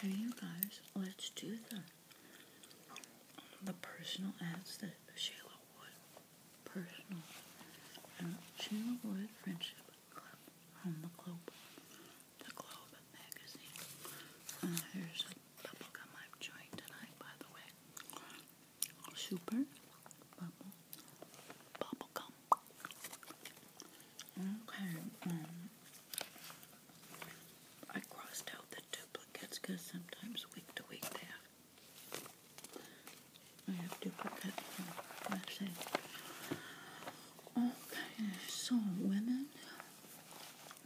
Hey you guys, let's do the the personal ads that Shayla would. personal uh, Wood Friendship Club on the Globe, the Globe magazine. Uh, here's bubblegum I'm trying tonight, by the way. Super bubblegum. Okay. Um, I crossed out the duplicates because sometimes week to week they have have duplicates Okay, so women,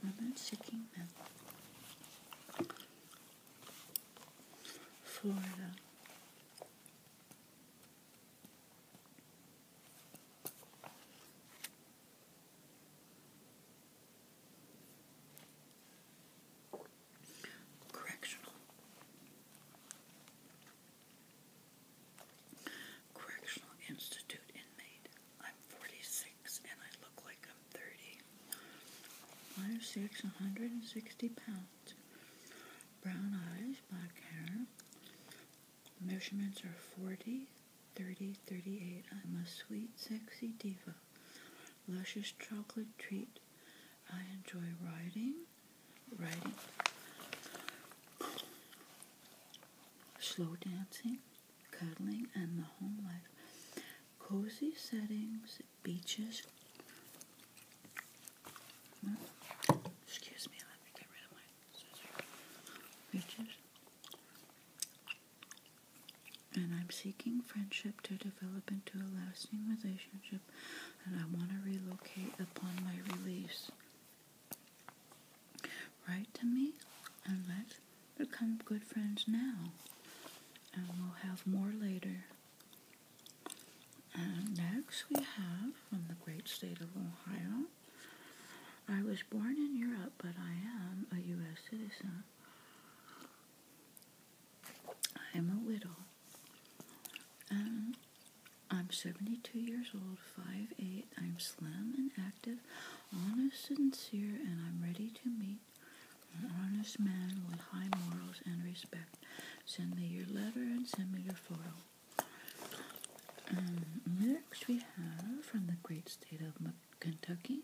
women seeking men. Florida. Correctional. Correctional Institute inmate. I'm 46 and I look like I'm 30. Five, 160 pounds. Brown eyes, black hair, Measurements are 40, 30, 38. I'm a sweet, sexy diva. Luscious chocolate treat. I enjoy riding, riding, slow dancing, cuddling, and the home life. Cozy settings, beaches. Hmm? Excuse me, let me get rid of my and I'm seeking friendship to develop into a lasting relationship, and I want to relocate upon my release. Write to me and let's become good friends now, and we'll have more later. And next we have from the great state of Ohio I was born in Europe, but I am a U.S. citizen. I am a widow. And um, I'm 72 years old, 5'8. I'm slim and active, honest and sincere, and I'm ready to meet an honest man with high morals and respect. Send me your letter and send me your photo. Um, next, we have from the great state of Kentucky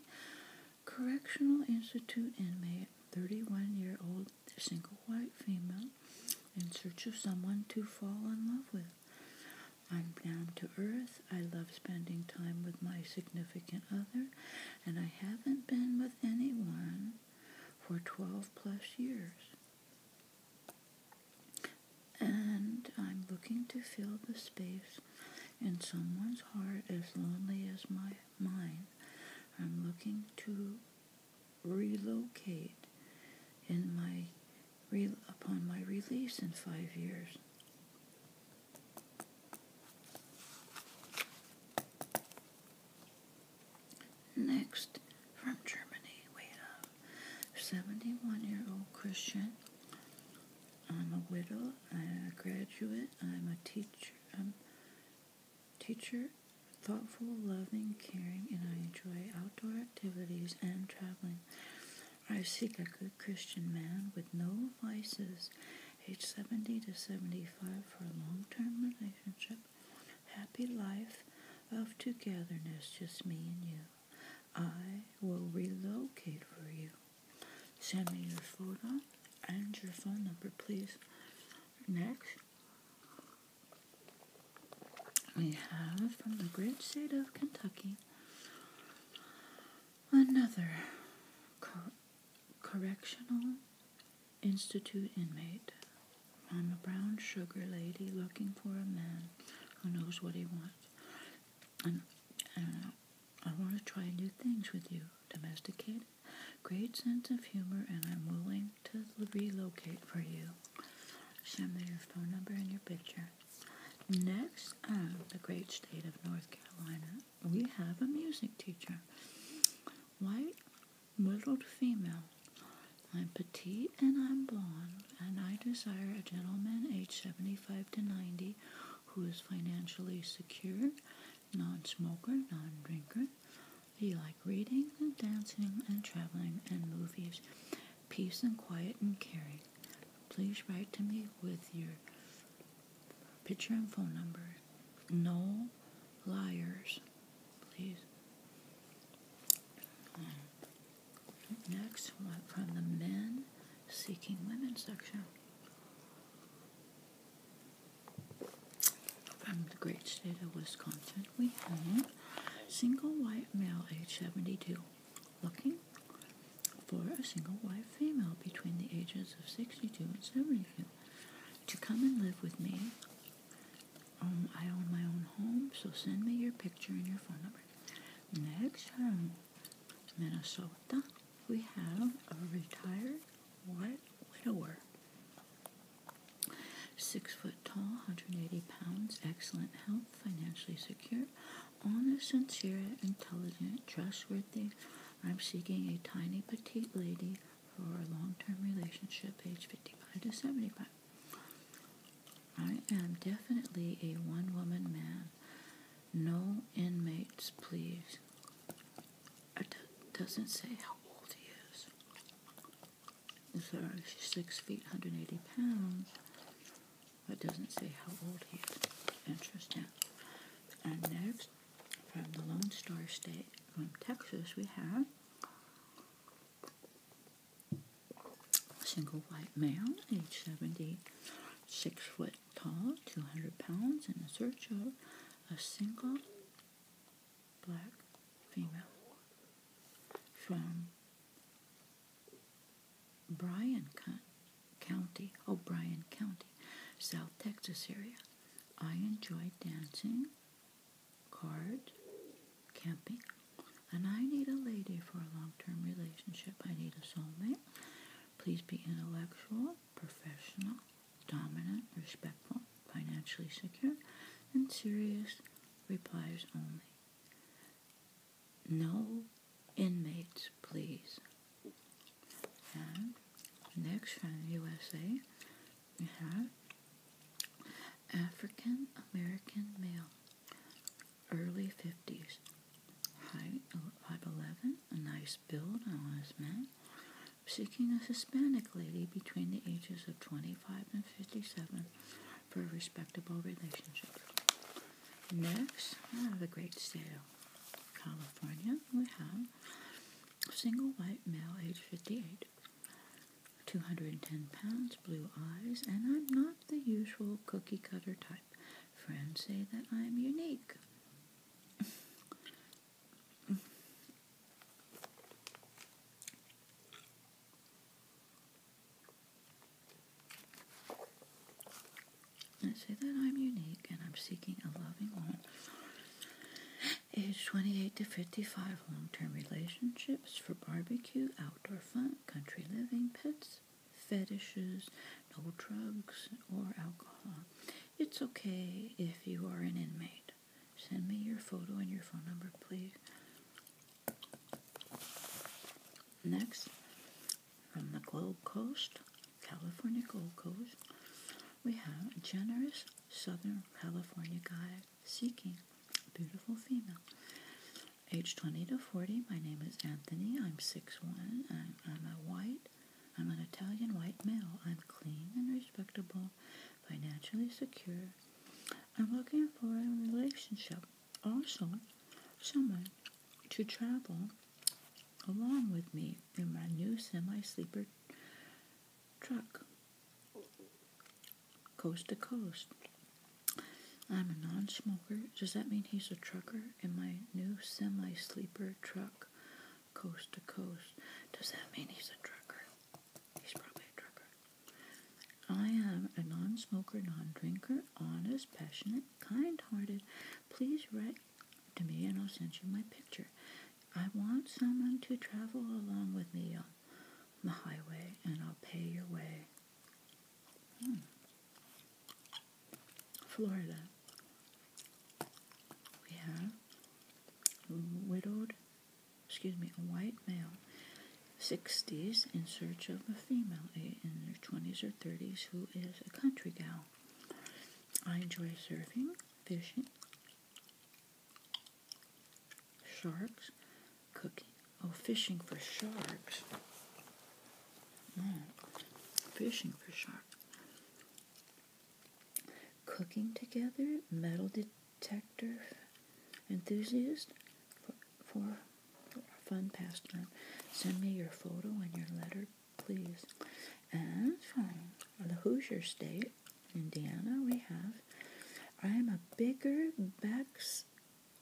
Correctional Institute inmate, 31 year old single white female, in search of someone to fall in love with. I'm down to earth. I love spending time with my significant other, and I haven't been with anyone for 12 plus years. And I'm looking to fill the space in someone's heart as lonely as my mind. I'm looking to relocate in my upon my release in five years. Next from Germany, wait up. 71 year old Christian. I'm a widow. I'm a graduate. I'm a teacher. I'm teacher, thoughtful, loving, caring, and I enjoy outdoor activities and traveling. I seek a good Christian man with no vices, age 70 to 75 for a long-term relationship, happy life of togetherness, just me and you. I will relocate for you. Send me your photo and your phone number, please. Next, we have from the great state of Kentucky another correctional institute inmate. I'm a brown sugar lady looking for a man who knows what he wants. Uh, I don't know. I want to try and do things with you. Domesticated, great sense of humor, and I'm willing to relocate for you. Send me your phone number and your picture. Next, uh, the great state of North Carolina, we have a music teacher. White, middle female. I'm petite and I'm blonde and I desire a gentleman aged 75 to 90 who is financially secure, non smoker, non drinker. He likes reading and dancing and traveling and movies, peace and quiet and caring. Please write to me with your picture and phone number. No liars, please. Next, one from the men seeking women section. From the great state of Wisconsin, we have single white male age 72 looking for a single white female between the ages of 62 and 72 to come and live with me. I own my own home, so send me your picture and your phone number. Next, um, Minnesota, we have a retired white widower. Six foot tall, 180 pounds, excellent health, financially secure, honest, sincere, intelligent, trustworthy. I'm seeking a tiny petite lady for a long term relationship, age 55 to 75. I am definitely a one woman man. No inmates, please. It doesn't say how old he is. Sorry, she's six feet, 180 pounds. It doesn't say how old he is. Interesting. And next, from the Lone Star State, from Texas, we have Single white male, age 70, six foot tall, 200 pounds, in search of a single black female from Bryan County, O'Brien oh, County, South Texas area. I enjoy dancing, card, camping, and I need a lady for a long term relationship. I need a soulmate. Please be intellectual, professional, dominant, respectful, financially secure, and serious replies only. No inmates, please. And next from the USA, we have African American male, early 50s. Height 5'11, a nice build, honest man. Seeking a Hispanic lady between the ages of 25 and 57 for a respectable relationship. Next, out have the great state of California, we have single white male, age 58. 210 pounds, blue eyes, and I'm not the usual cookie cutter type. Friends say that I am unique. I say that I'm unique and I'm seeking a loving woman. Age 28 to 55, long term relationships for barbecue, outdoor fun, country living, pets, fetishes, no drugs or alcohol. It's okay if you are an inmate. Send me your photo and your phone number, please. Next, from the Gold Coast, California Gold Coast, we have a generous Southern California guy seeking a beautiful female age 20 to 40. My name is Anthony. I'm 6'1. I'm, I'm a white, I'm an Italian white male. I'm clean and respectable, financially secure. I'm looking for a relationship. Also, someone to travel along with me in my new semi sleeper truck, coast to coast. I'm a non smoker. Does that mean he's a trucker in my new semi sleeper truck, coast to coast? Does that mean he's a trucker? He's probably a trucker. I am a non smoker, non drinker, honest, passionate, kind hearted. Please write to me and I'll send you my picture. I want someone to travel along with me on the highway and I'll pay your way. Hmm. Florida. We have widowed, excuse me, a white male, 60s, in search of a female in their 20s or 30s who is a country gal. I enjoy surfing, fishing, sharks, cooking. Oh, fishing for sharks. Mm. Fishing for sharks. Cooking together, metal detector enthusiast for, for, for fun pastime. Send me your photo and your letter, please. And from the Hoosier State, Indiana, we have I am a bigger backs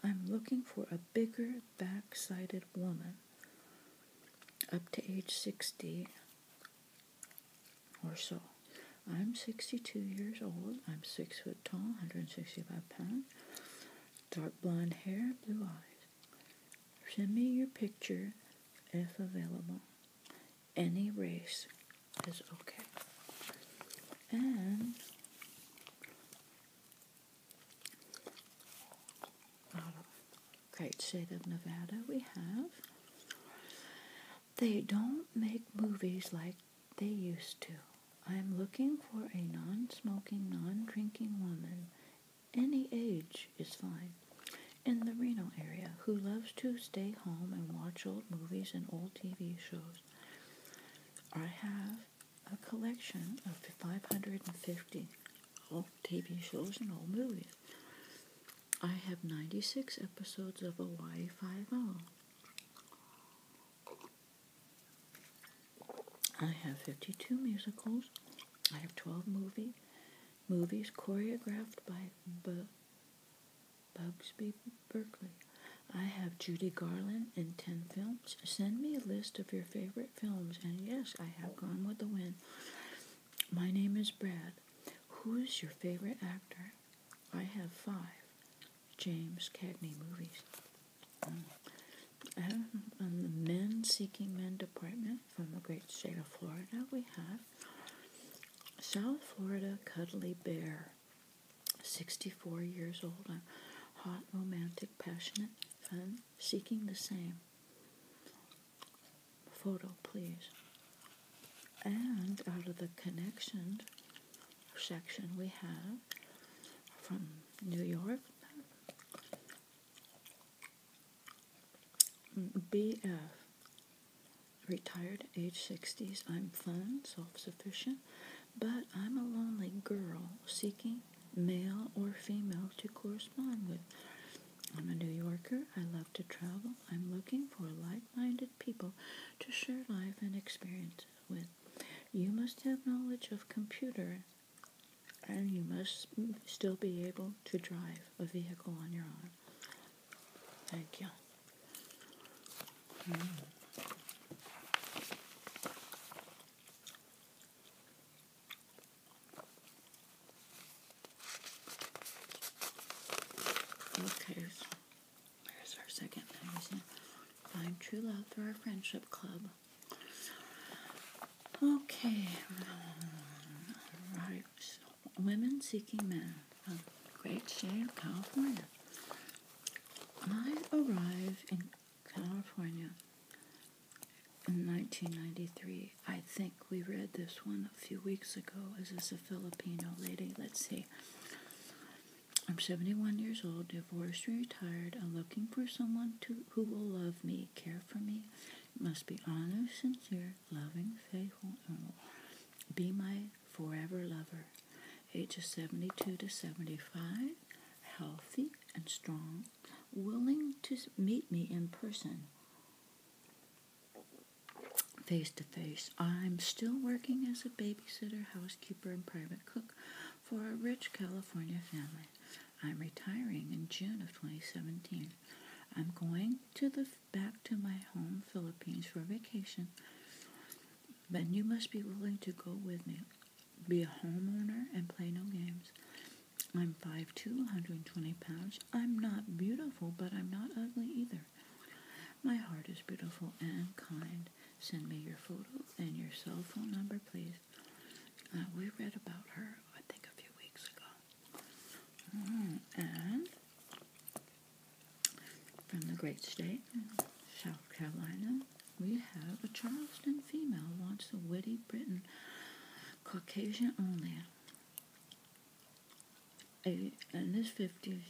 I'm looking for a bigger back sided woman up to age 60 or so. I'm 62 years old. I'm 6 foot tall, 165 pounds, dark blonde hair, blue eyes. Send me your picture if available. Any race is okay. And great state of Nevada we have. They don't make movies like they used to. I'm looking for a non smoking, non drinking woman, any age is fine, in the Reno area who loves to stay home and watch old movies and old TV shows. I have a collection of 550 old TV shows and old movies. I have 96 episodes of Hawaii Five O. I have 52 musicals. I have 12 movie movies choreographed by Bugsy Bugsby Berkeley. I have Judy Garland in 10 films. Send me a list of your favorite films, and yes, I have gone with the wind. My name is Brad. Who is your favorite actor? I have five James Cagney movies. Mm. Um, and um, on the Men Seeking Men Department from the great state of Florida, we have South Florida Cuddly Bear, 64 years old. i hot, romantic, passionate, fun, seeking the same photo, please. And out of the connection section, we have from New York BF, retired age 60s. I'm fun, self sufficient, but I'm a lonely girl seeking male or female to correspond with. I'm a New Yorker. I love to travel. I'm looking for like minded people to share life and experience with. You must have knowledge of computer and you must still be able to drive a vehicle on your own. Thank you. Look, here's, our second Find true love through our friendship club. Okay. Alright. women seeking men. great state California. I arrive in California in 1993. I think we read this one a few weeks ago. Is this a Filipino lady? Let's see. I'm 71 years old, divorced, retired. I'm looking for someone to, who will love me, care for me. Must be honest, sincere, loving, faithful, and be my forever lover. Age of 72 to 75, healthy and strong, willing to meet me in person, face to face. I'm still working as a babysitter, housekeeper, and private cook for a rich California family. I'm retiring in June of 2017. I'm going to the back to my home Philippines for vacation. But you must be willing to go with me. Be a homeowner and play no games. I'm hundred and twenty pounds. I'm not beautiful, but I'm not ugly either. My heart is beautiful and kind. Send me your photo and your cell phone number, please. Uh, we read about her, I think, a few weeks ago. Mm, and from the great state, South Carolina, we have a Charleston female wants a witty Briton Caucasian only. A, in his 50s,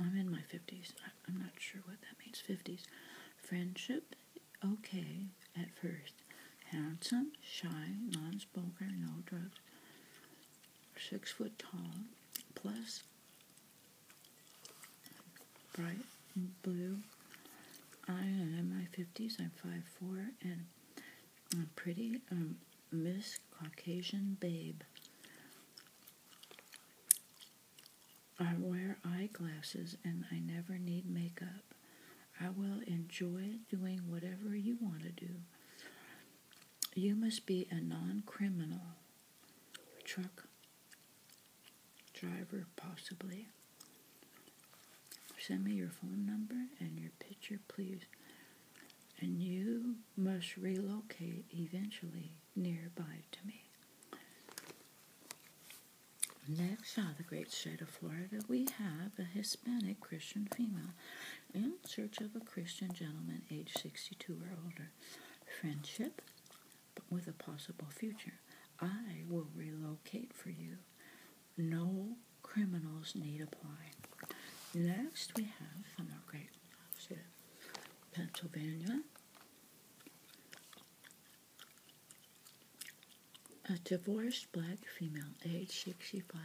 I'm in my 50s, I, am not sure what that means, 50s. Friendship, okay at first. Handsome, shy, non smoker, no drugs. Six foot tall, plus bright blue. I am in my 50s. I'm 5'4", and I'm pretty um, Miss Caucasian Babe. I wear eyeglasses and I never need makeup. I will enjoy doing whatever you want to do. You must be a non criminal truck driver possibly. Send me your phone number and your picture, please. And you must relocate eventually nearby to me. Next out the great state of Florida, we have a Hispanic Christian female in search of a Christian gentleman age 62 or older. Friendship but with a possible future. I will relocate for you. No criminals need apply. Next, we have from our great Pennsylvania a divorced black female, age 65,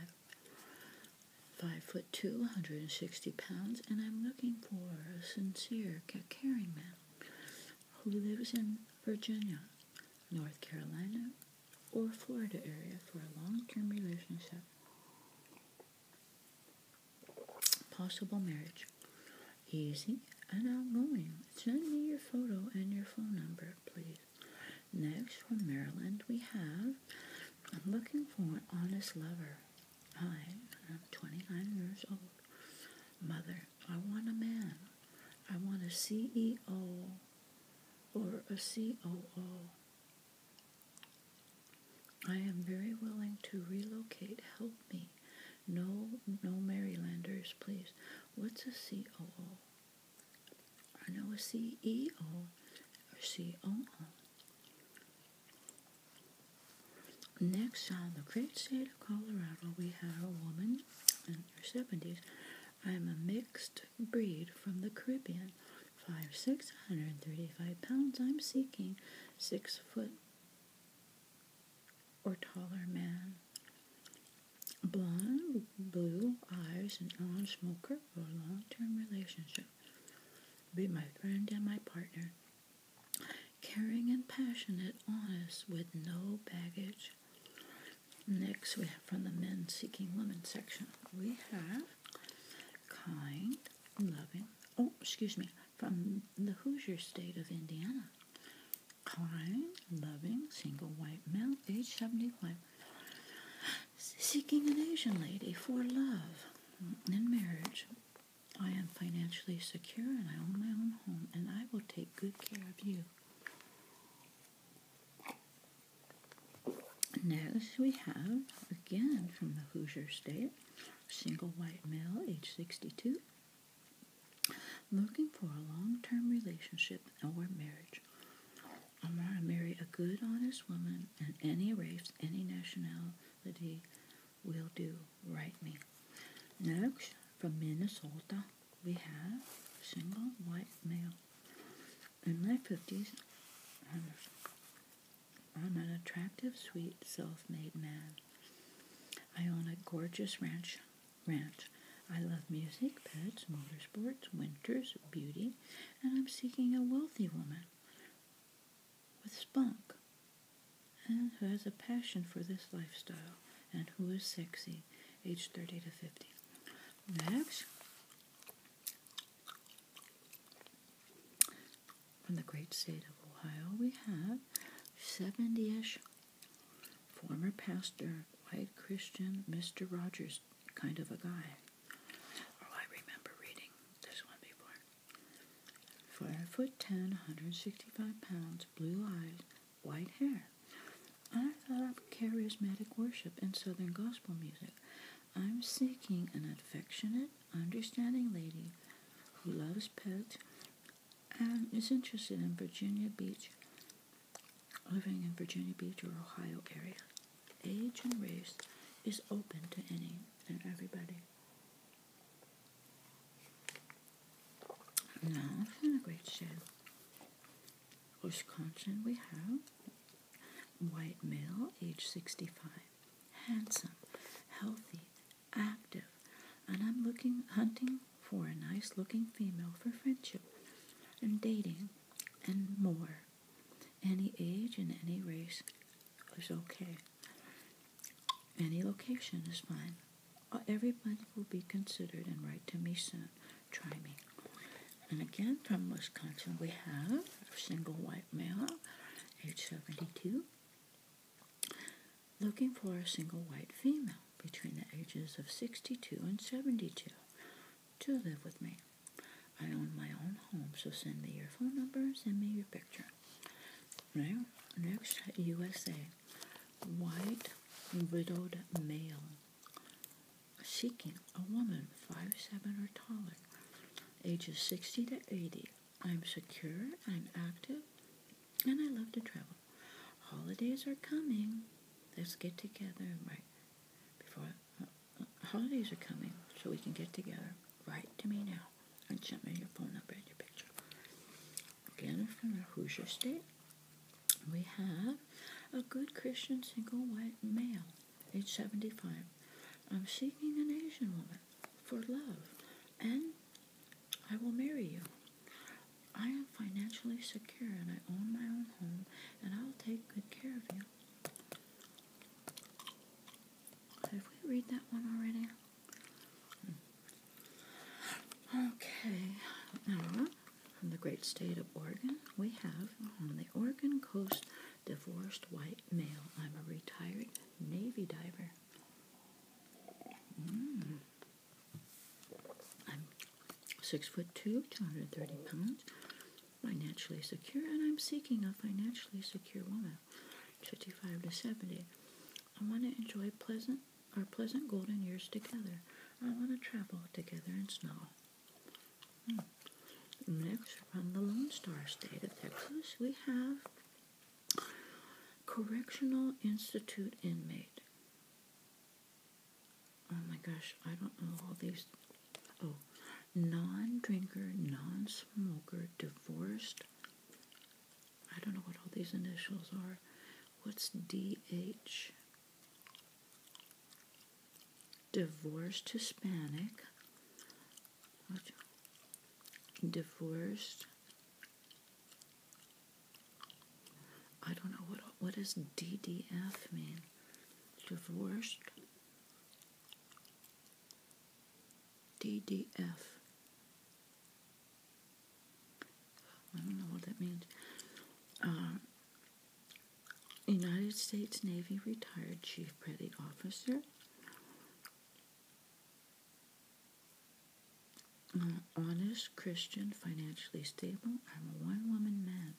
5 foot 2, 160 pounds, and I'm looking for a sincere, caring man who lives in Virginia. North Carolina, or Florida area for a long term relationship. Possible marriage. Easy and outgoing. Send me your photo and your phone number, please. Next, from Maryland, we have I'm looking for an honest lover. I am 29 years old, mother I want a man. I want a CEO or a COO. I am very willing to relocate. Help me. No, no Marylanders, please. What's a COO? I know a CEO or COO. Next on the great state of Colorado, we have a woman in your 70s, I am a mixed breed from the Caribbean. 5'6", 135 pounds. I'm seeking six foot or taller man. blond, blue eyes, and non-smoker for long-term relationship. Be my friend and my partner. Caring and passionate, honest, with no baggage. Next, we have from the Men Seeking Women section, we have Kind, Loving, oh, excuse me, from the Hoosier State of Indiana. Kind, loving, single white male, age 75, seeking an Asian lady for love and marriage. I am financially secure and I own my own home, and I will take good care of you. Next, we have, again from the Hoosier State, single white male, age 62, looking for a long term relationship or marriage. I want to marry a good, honest woman, and any race, any nationality will do. Write me. Next, from Minnesota, we have a single white male in my 50s. I'm, I'm an attractive, sweet, self-made man. I own a gorgeous ranch. Ranch. I love music, pets, motorsports, winters, beauty, and I'm seeking a wealthy woman with spunk and who has a passion for this lifestyle and who is sexy, age 30 to 50. Next, from the great state of Ohio, we have 70 ish former pastor, white Christian, Mr. Rogers kind of a guy. Oh, I remember reading this one before. Five foot ten, 165 pounds, blue eyes, white hair. I thought up charismatic worship and southern gospel music. I'm seeking an affectionate, understanding lady who loves pets and is interested in Virginia Beach, living in Virginia Beach or Ohio area. Age and race is open to any and everybody. No, it's in a great shape. Wisconsin we have white male, age 65, handsome, healthy, active, and I'm looking hunting for a nice looking female for friendship and dating and more. Any age and any race is okay. Any location is fine. Uh, everybody will be considered and write to me soon try me. And again, from Wisconsin, we have a single white male, age 72, looking for a single white female between the ages of 62 and 72 to live with me. I own my own home, so send me your phone number send me your picture. Now, next, USA, white widowed male, seeking a woman five seven or taller, ages 60 to 80. I'm secure, I'm active, and I love to travel. Holidays are coming. Let's get together right before uh, uh, holidays are coming so we can get together. right. to me now and send me your phone number and your picture. Again, from the Hoosier State, we have a good Christian single white male, age 75. I'm seeking an Asian woman for love, and I will marry you. I am financially secure and I own my own home, and I'll take good care of you. Have we read that one already? Hmm. Okay, from the great state of Oregon, we have on the Oregon coast divorced white male. I'm a retired Navy diver. Mm. I'm six foot two, 230 pounds, financially secure, and I'm seeking a financially secure woman, 55 to 70. I want to enjoy pleasant our pleasant golden years together. I want to travel together in snow. Next, from the Lone Star State of Texas, we have Correctional Institute Inmate. Oh my gosh, I don't know all these. Oh, non drinker, non smoker, divorced. I don't know what all these initials are. What's DH? divorced Hispanic, divorced. I don't know what what does DDF mean. Divorced. DDF. I don't know what that means. Uh, United States Navy retired Chief Petty Officer. honest, Christian, financially stable. I'm a one woman man.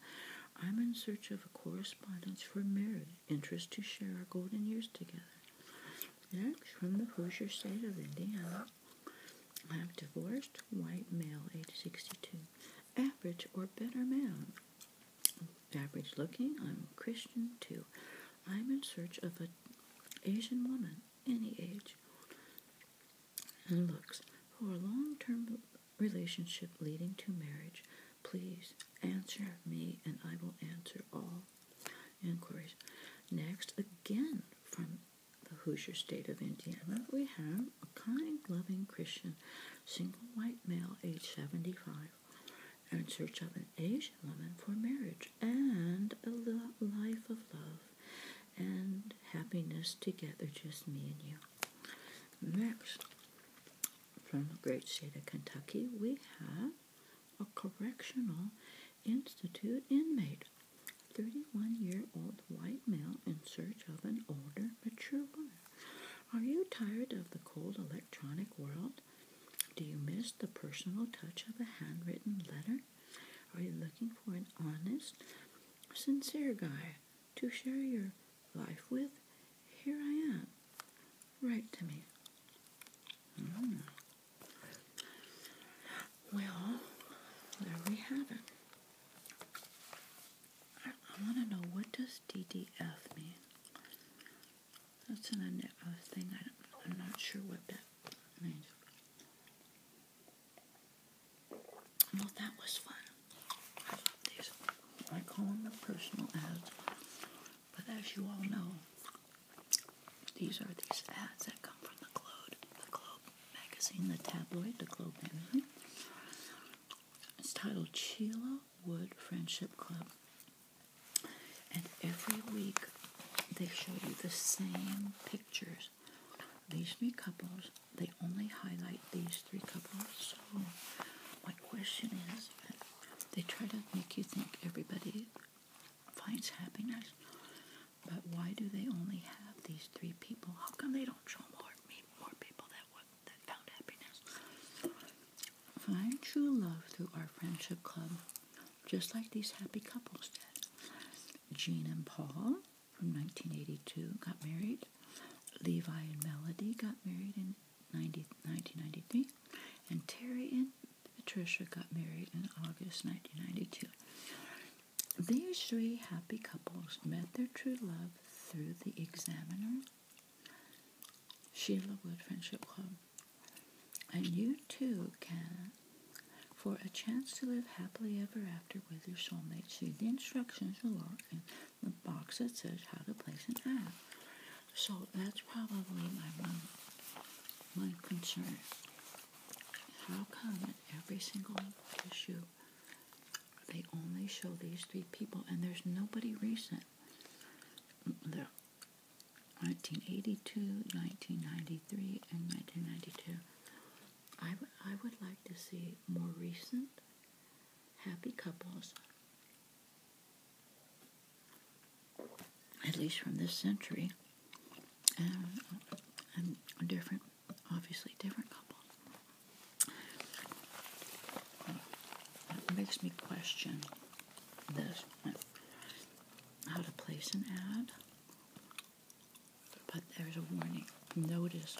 I'm in search of a correspondence for marriage, interest to share our golden years together. Next, from the Hoosier state of Indiana, I'm divorced, white male, age 62. Average or better man. Average looking, I'm Christian too. I'm in search of an Asian woman, any age and looks, for a long term relationship leading to marriage. Please answer me and I will answer all inquiries. Next, again from the Hoosier State of Indiana, we have a kind, loving Christian single white male, age 75, in search of an Asian woman for marriage and a life of love and happiness together, just me and you. Next, from the great state of Kentucky, we have a correctional institute inmate, 31 year old white male in search of an older, mature woman. Are you tired of the cold electronic world? Do you miss the personal touch of a handwritten letter? Are you looking for an honest, sincere guy to share your life with? Here I am. Write to me. Hmm. Well, there we have it. I, want to know what does DDF mean? That's an I uh, thing. I am not sure what that means. Well, that was fun. I love these. I call them the personal ads, but as you all know, these are these ads that come from the Globe, the Globe magazine, the tabloid, the Globe it's titled Chila Wood Friendship Club. And every week they show you the same pictures. These three couples, they only highlight these three couples. So, my question is they try to make you think everybody finds happiness, but why do they only have these three people? How come they don't show more, more people that would that found happiness. Find true love through our friendship club, just like these happy couples did. Jean and Paul from 1982 got married. Levi and Melody got married in 90, 1993. And Terry and Patricia got married in August 1992. These three happy couples met their true love through the examiner Sheila Wood Friendship Club. And you too can for a chance to live happily ever after with your soulmate. See the instructions below in the box that says how to place an ad. So that's probably my my concern. How come in every single issue they only show these three people, and there's nobody recent. they 1982, 1993, and 1992. I, I would like to see more recent happy couples, at least from this century, uh, and, different, obviously different couples. It makes me question this how to place an ad. But there's a warning. Notice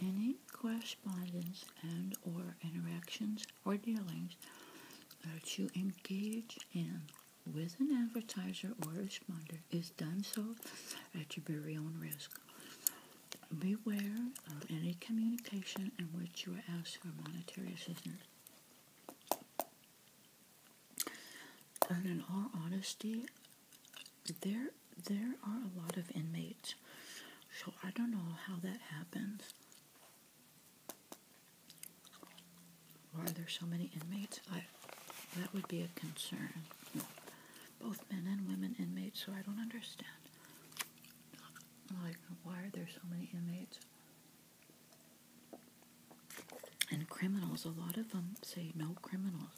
any correspondence and or interactions or dealings that you engage in with an advertiser or responder is done so at your very own risk beware of any communication in which you are asked for monetary assistance. And in all honesty, there there are a lot of inmates, so I don't know how that happens. Why there so many inmates? I that would be a concern. Both men and women inmates, so I don't understand like, why are there so many inmates? And criminals, a lot of them say no criminals.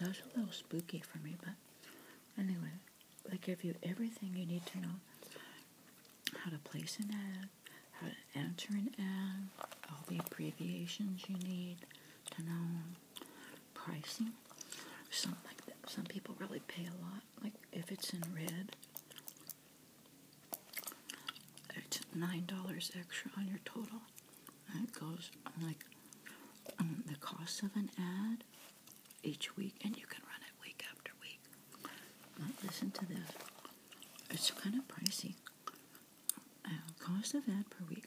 That's a little spooky for me, but anyway, they give you everything you need to know how to place an ad, how to enter an ad, all the abbreviations you need to know, pricing. Some like that. Some people really pay a lot. Like if it's in red, it's nine dollars extra on your total. it goes like um, the cost of an ad each week, and you can run it week after week. listen to this. It's kind of pricey. Uh, cost of ad per week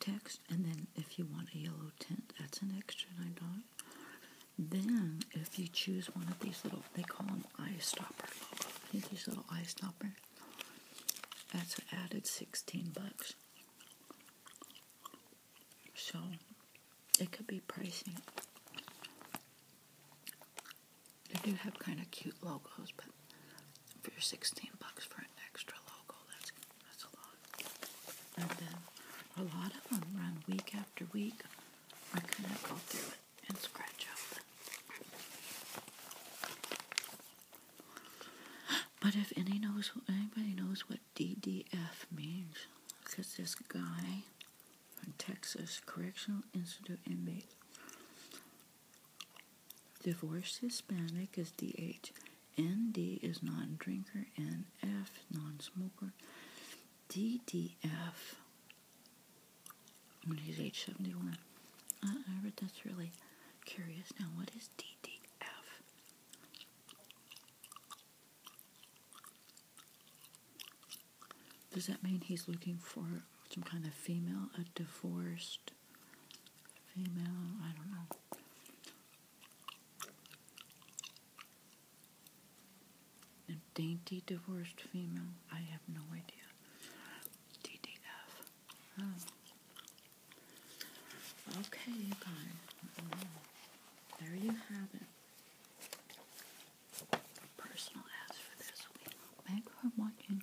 text, and then if you want a yellow tint, that's an extra nine dollars. Then, if you choose one of these little, they call them eye stopper These little eye stopper. That's an added sixteen bucks. So, it could be pricey. They do have kind of cute logos, but for 16 bucks for an extra logo. That's that's a lot. And then a lot of them run week after week. I am gonna go through it and scratch out. But if any knows, anybody knows what DDF means, because this guy from Texas Correctional Institute inmate Divorced Hispanic is DH. ND is non drinker. NF, non smoker. DDF, when he's age 71. Uh, I read that's really curious. Now, what is DDF? Does that mean he's looking for some kind of female, a divorced female, I don't know. A dainty divorced female, I have no idea. DDF. Oh. Okay, you guys. there you have it. Personal ads for this week. Thanks for watching.